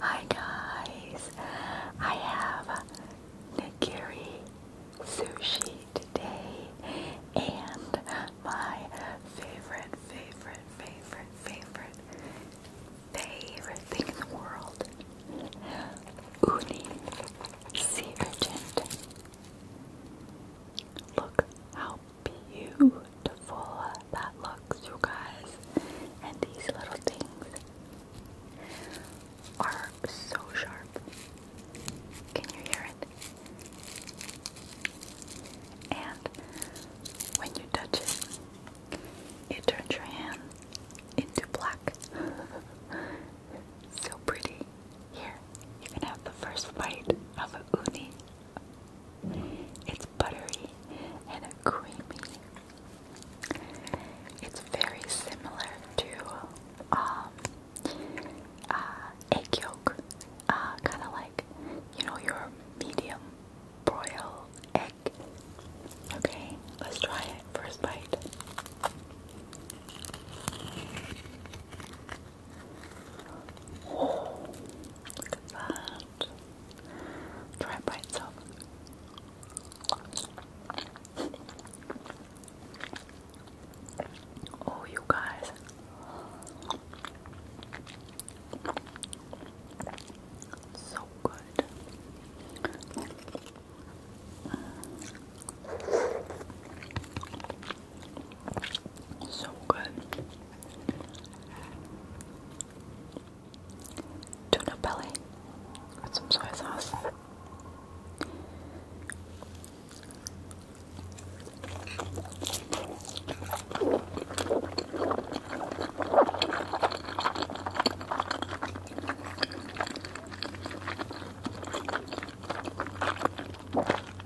Hi guys, I have nigiri sushi today and my favorite, favorite, favorite, favorite, favorite thing in the world, uni sea Look how beautiful that looks, you guys. And these little things are so sharp. Can you hear it? And when you touch it, it turns your hand into black. so pretty. Here, you can have the first bite of uni. It's buttery and creamy. It's very similar to um, uh, egg yolk, uh, kind of like you know your medium broil egg. Okay, let's try it. First bite. Oh, look at that. Try it by itself. Oh, you guys. So good. So good. Tuna belly with some soy sauce.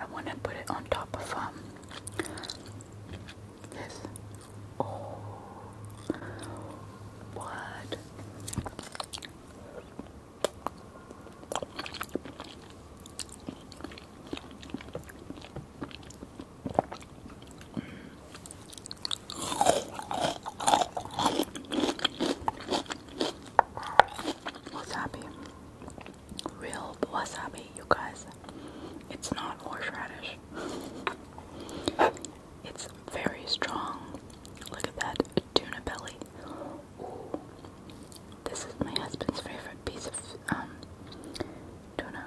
I want to put it on top of um this. Oh, what? Wasabi. Real wasabi, you guys. It's not horseradish. It's very strong. Look at that tuna belly. Ooh. This is my husband's favorite piece of um, tuna.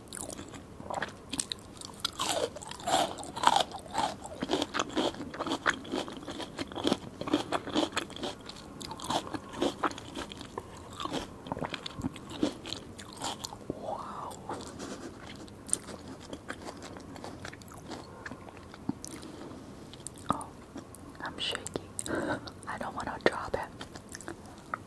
Wow. Oh, I'm shaky. I don't want to drop it.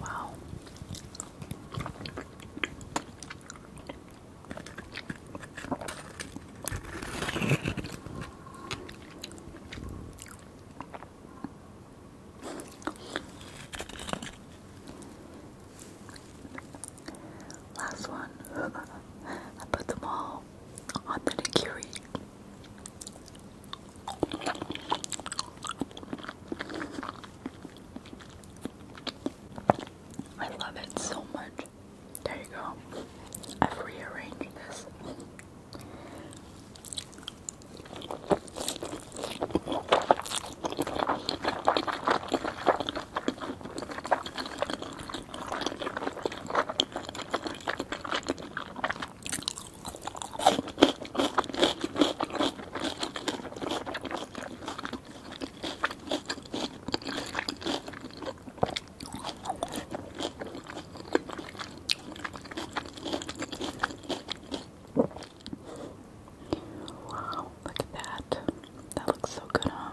Wow. Last one. I put them all on the nigiri. I love it so much. There you go. I've rearranged this. Wow, look at that. That looks so good, huh?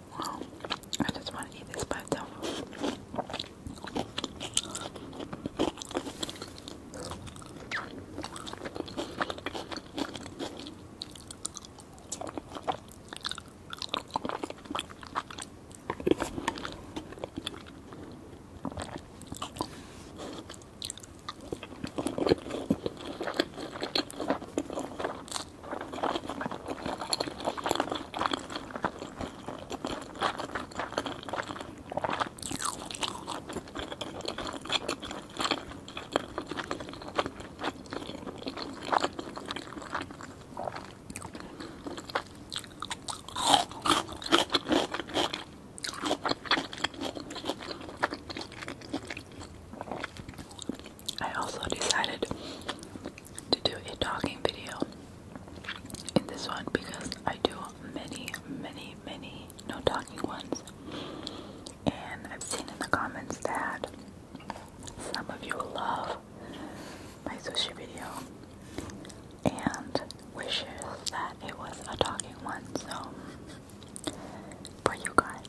I just want to eat this by itself. I also decided to do a talking video in this one because I do many, many, many no talking ones. And I've seen in the comments that some of you love my sushi video and wish that it was a talking one. So, for you guys.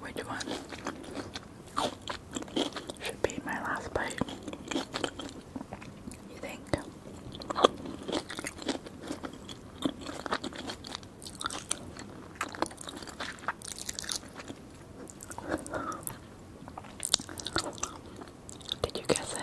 Which one should be my last bite? You think? Did you guess it?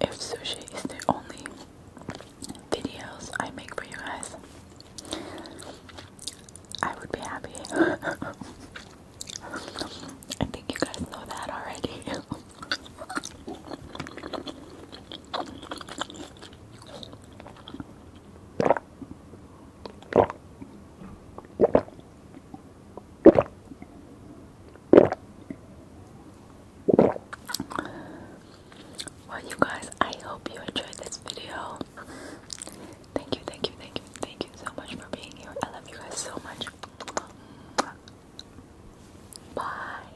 If sushi is the only videos I make for you guys, I would be happy. I think you guys know that already. Well, you guys, I hope you enjoyed this video. Thank you, thank you, thank you, thank you so much for being here. I love you guys so much. Bye.